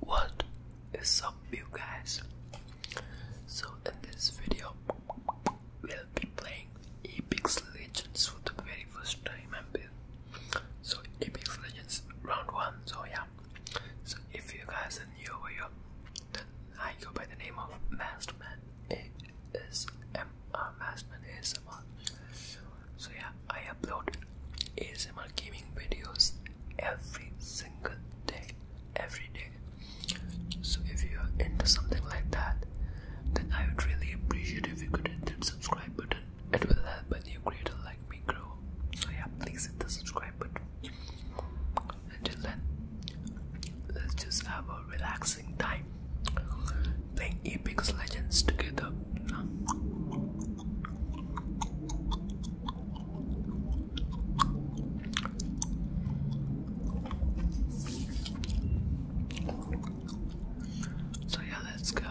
What is up you guys? So in this video we'll be playing Apex Legends for the very first time i So Apex Legends round one so yeah. So if you guys are new or you're, then I go by the name of Masterman is a ASMR. So yeah I upload ASMR gaming videos every single day, every day. So if you are into something like that, then I would really appreciate if you could hit the subscribe button. It will help a new creator like me grow. So yeah, please hit the subscribe button. Until then, let's just have a relaxing time playing Apex Legends together. So, yeah, let's go.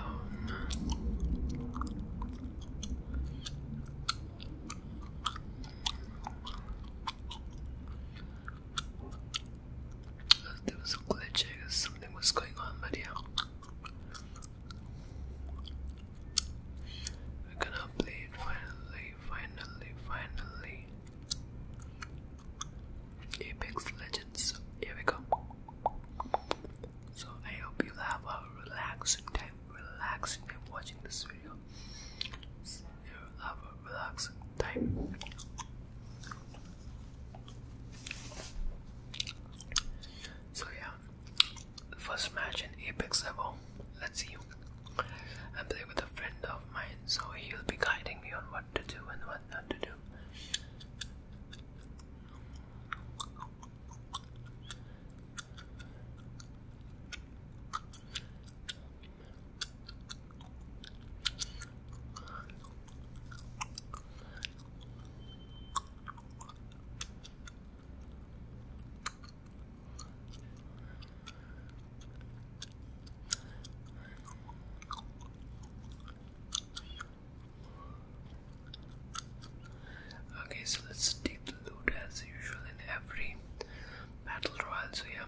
There was a glitch, something was going on, but yeah. I can update finally, finally, finally. Apex Legends. Here we go. So I hope you have a relaxing time, relaxing time watching this video. you have a relaxing time. So yeah, first match in Apex level. Let's see. I play with a friend of mine, so he'll be guiding me on what to do and what not to do. Okay, so let's take the loot as usual in every battle royale. So, yeah.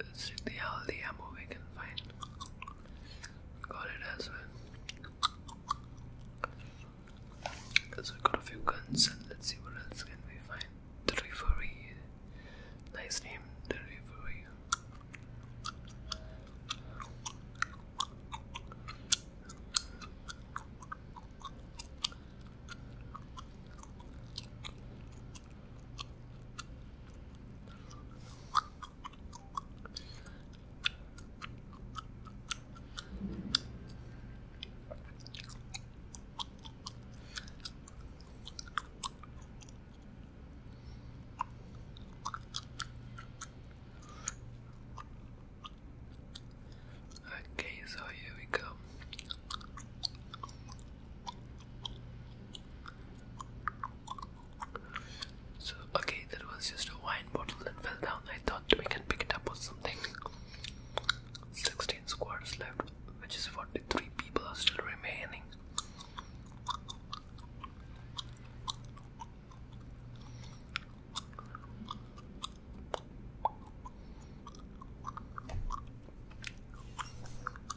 Let's check the healthy ammo we can find. Got it as well. Because we got a few guns and let's see what else can we find. The referee. Nice name, the referee. Okay, so here we go. So, okay, that was just a wine bottle that fell down. I thought we can pick it up or something. 16 squads left, which is 43 people are still remaining.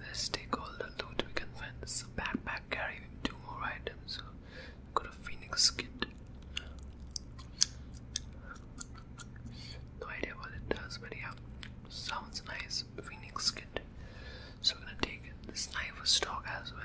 Let's take all the loot we can find. This is a backpack carrying two more items. Got a phoenix kit. No idea what it does, but yeah, sounds nice. Phoenix kit. So we're gonna take this knife of stock as well.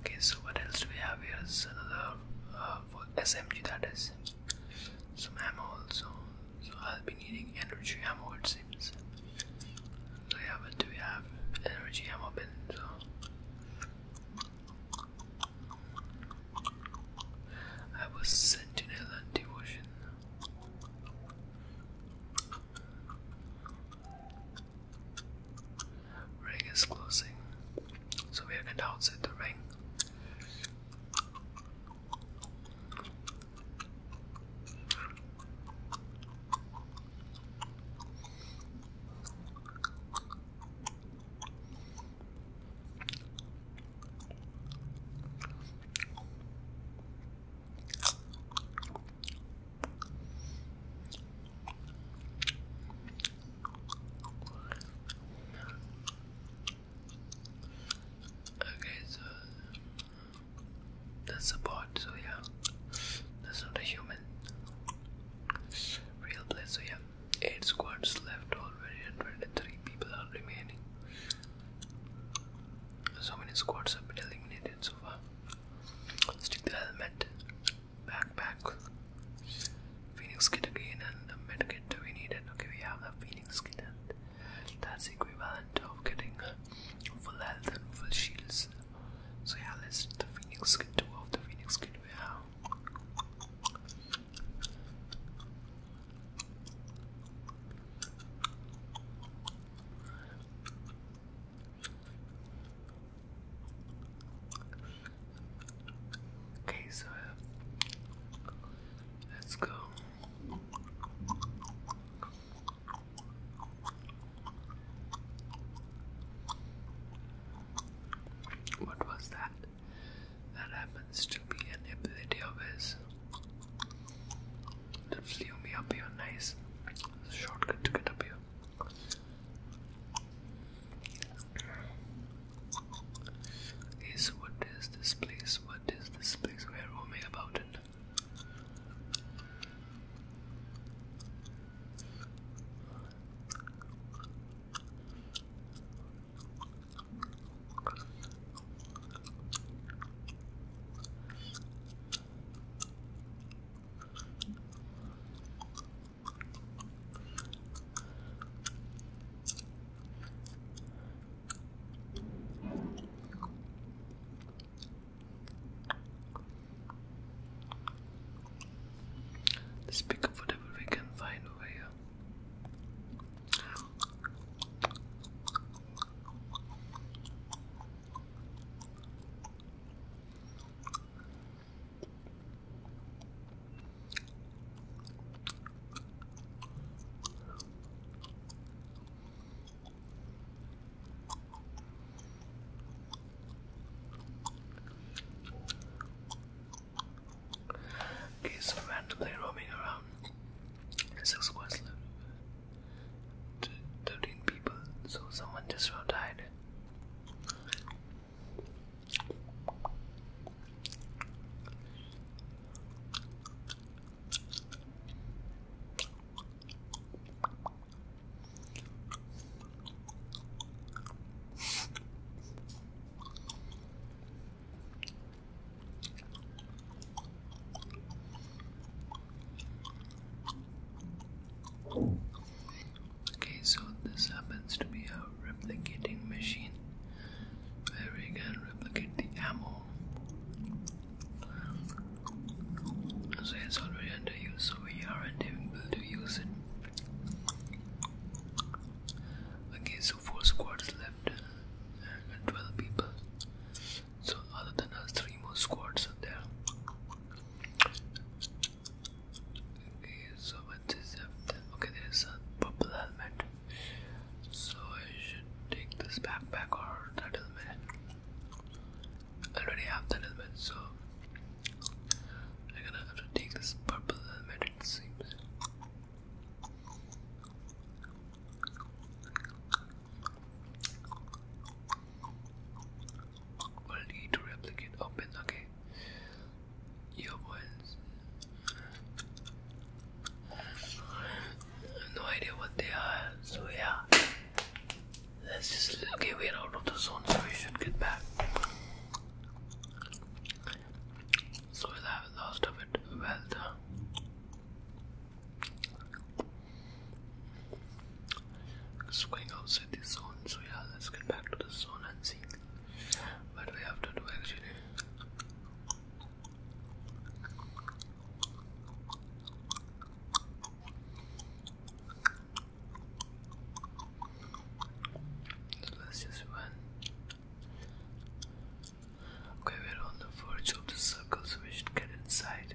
Okay, so what else do we have here? Is another uh, SMG that is some ammo also. So I'll be needing energy ammo it seems. So have but do we have energy ammo bin? So I have a sentinel and devotion. Ring is closing, so we are going to outside the ring. Okay, so that's a so yeah, that's not a human. Real play, so yeah, 8 squads left already and people are remaining. So many squads have been eliminated so far. Stick the helmet backpack. Phoenix kit again and the medkit we needed. Okay, we have the Phoenix kit and that's equivalent of getting uh, full health and full shields. So yeah, let's the Phoenix kit two of the Phoenix kit we have. Okay, so let's go. What was that? That happens to be an ability of his that flew me up here nice shortcut to get up here. here. Is what is this place? What is this place? we are roaming about it? Let's pick up whatever we can find over here. Kids randomly roaming around. Six quests left. 13 people, so someone just about died. Okay, so this happens to be a replicating machine where we can replicate the ammo. So it's already under use, so we aren't able to use it. Okay, so four squads left and 12 people. So other than us, three more squads are there. so what is that? Okay, there's a purple helmet. So I should take this backpack or that helmet. already have that helmet, so I'm gonna have to take this purple helmet it seems we to replicate open, Your ones. No idea what they are, so yeah. let just. Okay, we're out of the zone, so we should get back. So we'll have lost of bit well done. It's going outside this zone, so yeah, let's get back to the zone and see what we have to do actually. So let's just run. Okay, we're on the verge of the circle, so we should get inside.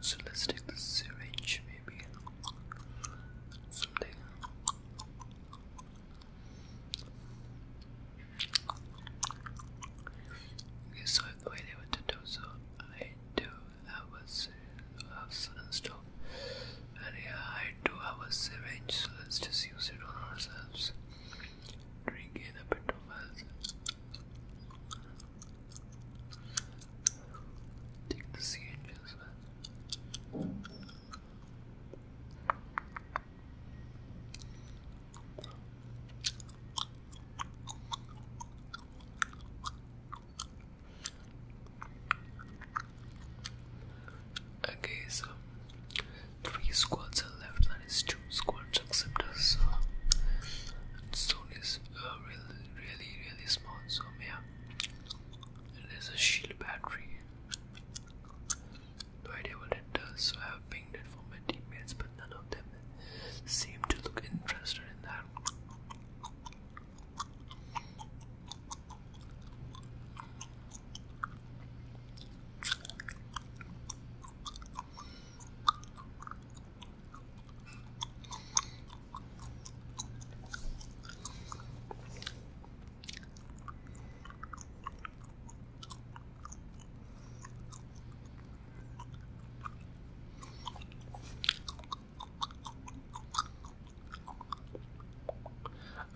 So let's take the syringe, maybe someday. Okay, so I've no idea what to do, so I do have a have sudden stop. And yeah, I do have a syringe, so let's just use it on ourselves drink in a bit of us. Take the sea angels. Man. Okay, so three squads are left, that is two squads quartz acceptors uh, stone is really, really really small so yeah and there's a shield battery no idea what it does so I have pinged it for my teammates but none of them seem to look interested in that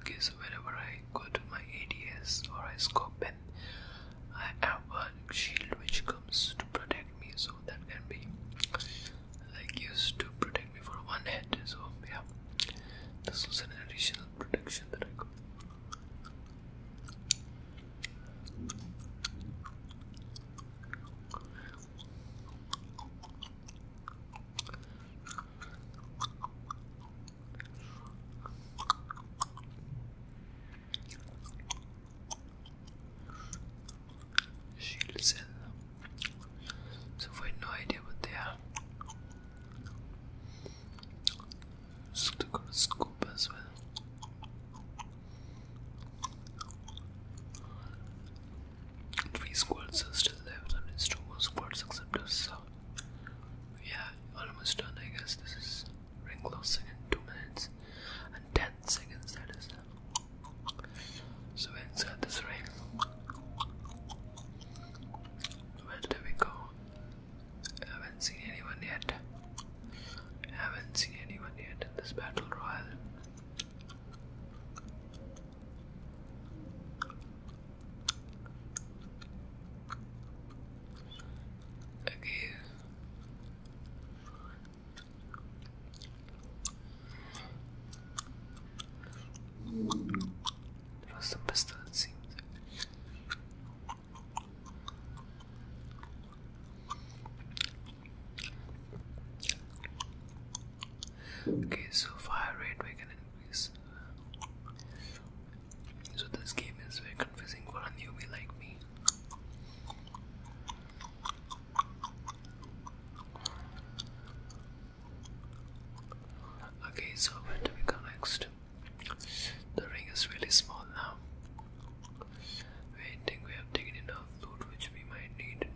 Okay, so whenever I go to my ADS or I scope I have a shield which comes to protect me, so that can be like used to protect me for one head. So yeah, this was an additional protection that I got. Shield So I have no idea what they are. So they're scoop as well. Three squads are still left and it's two more squads except us yeah almost done I guess this is ring closing in 2 minutes and 10 seconds that is so inside this ring where do we go haven't seen anyone yet haven't seen anyone yet this battle royal Okay. There was some pistol, it Okay, so fire rate we can increase. So this game is very confusing for a newbie like me. Okay, so where do we next? The ring is really small now. I think we have taken enough food which we might need.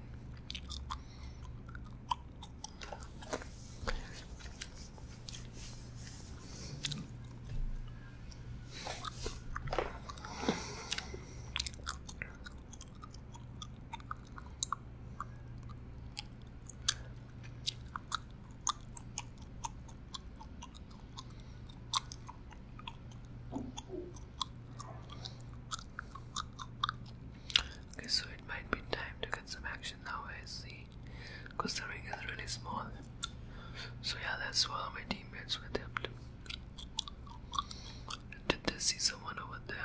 Okay, so it might be time to get some action now. I see Cause the ring is really small. So yeah, that's why all my teammates were dipped. Did they see someone over there?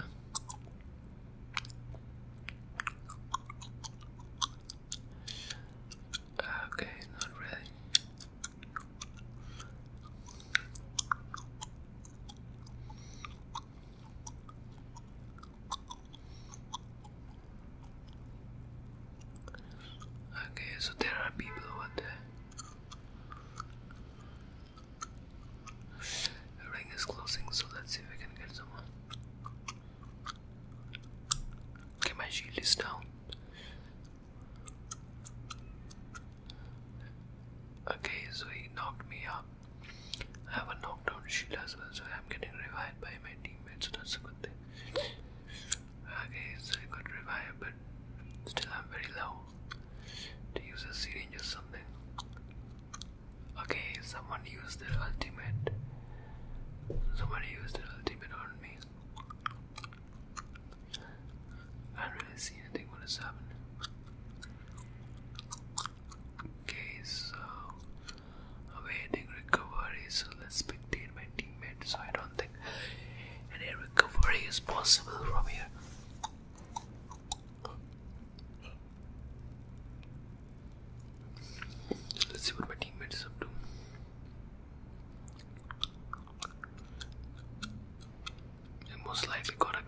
Ah, okay, not really. Okay, so there are people over there. The ring is closing, so let's see if we can get someone. Okay, my shield is down. Okay, so he knocked me up. I have a knockdown shield as well, so I'm getting revived by my teammates, so that's good Okay, so I got revived, but still I'm very low. To use a syringe or something. Okay, someone used their ultimate. Someone used their ultimate on me. I don't really see anything what has happened. Okay, so awaiting recovery. So let's spectate my teammate. So I don't think any recovery is possible from here. Let's see what my teammate is up to. They most likely got a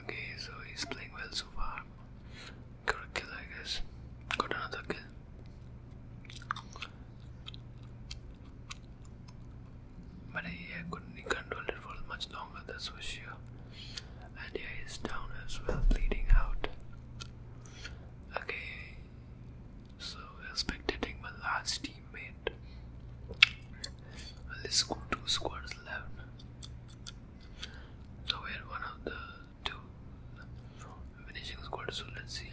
Okay, so he's playing well so far. Got kill, I guess. Got another kill. But I couldn't control it for much longer, that's for sure. And yeah, he's down as well, bleeding out. Okay, so expected taking my last teammate. Well, let's go two squads left. So we're one of the two finishing squads. So let's see.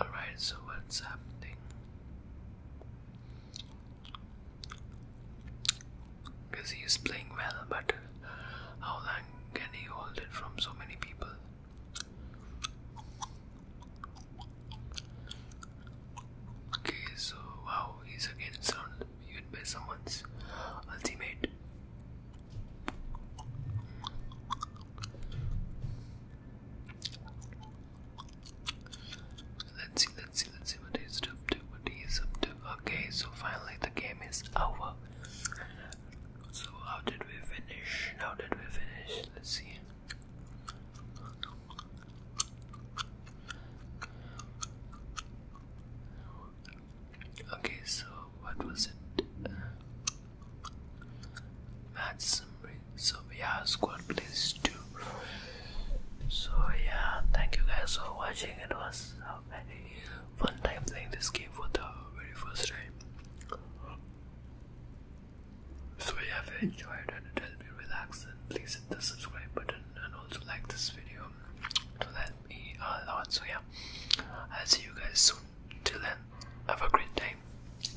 Alright, so what's happening? Because he is playing well, but how long can he hold it from so many people? Okay, so how is he's again surrounded by someone's ultimate. Let's see, let's see, let's see what up to, what up to. Okay, so finally the game is over. So how did we finish? How did we finish? Let's see. Okay, so what was it? summary so yeah squad please do so yeah thank you guys for watching it was a very fun time playing this game for the very first time so yeah if you enjoyed and it helped me relax then please hit the subscribe button and also like this video it help me a lot so yeah I'll see you guys soon till then have a great day.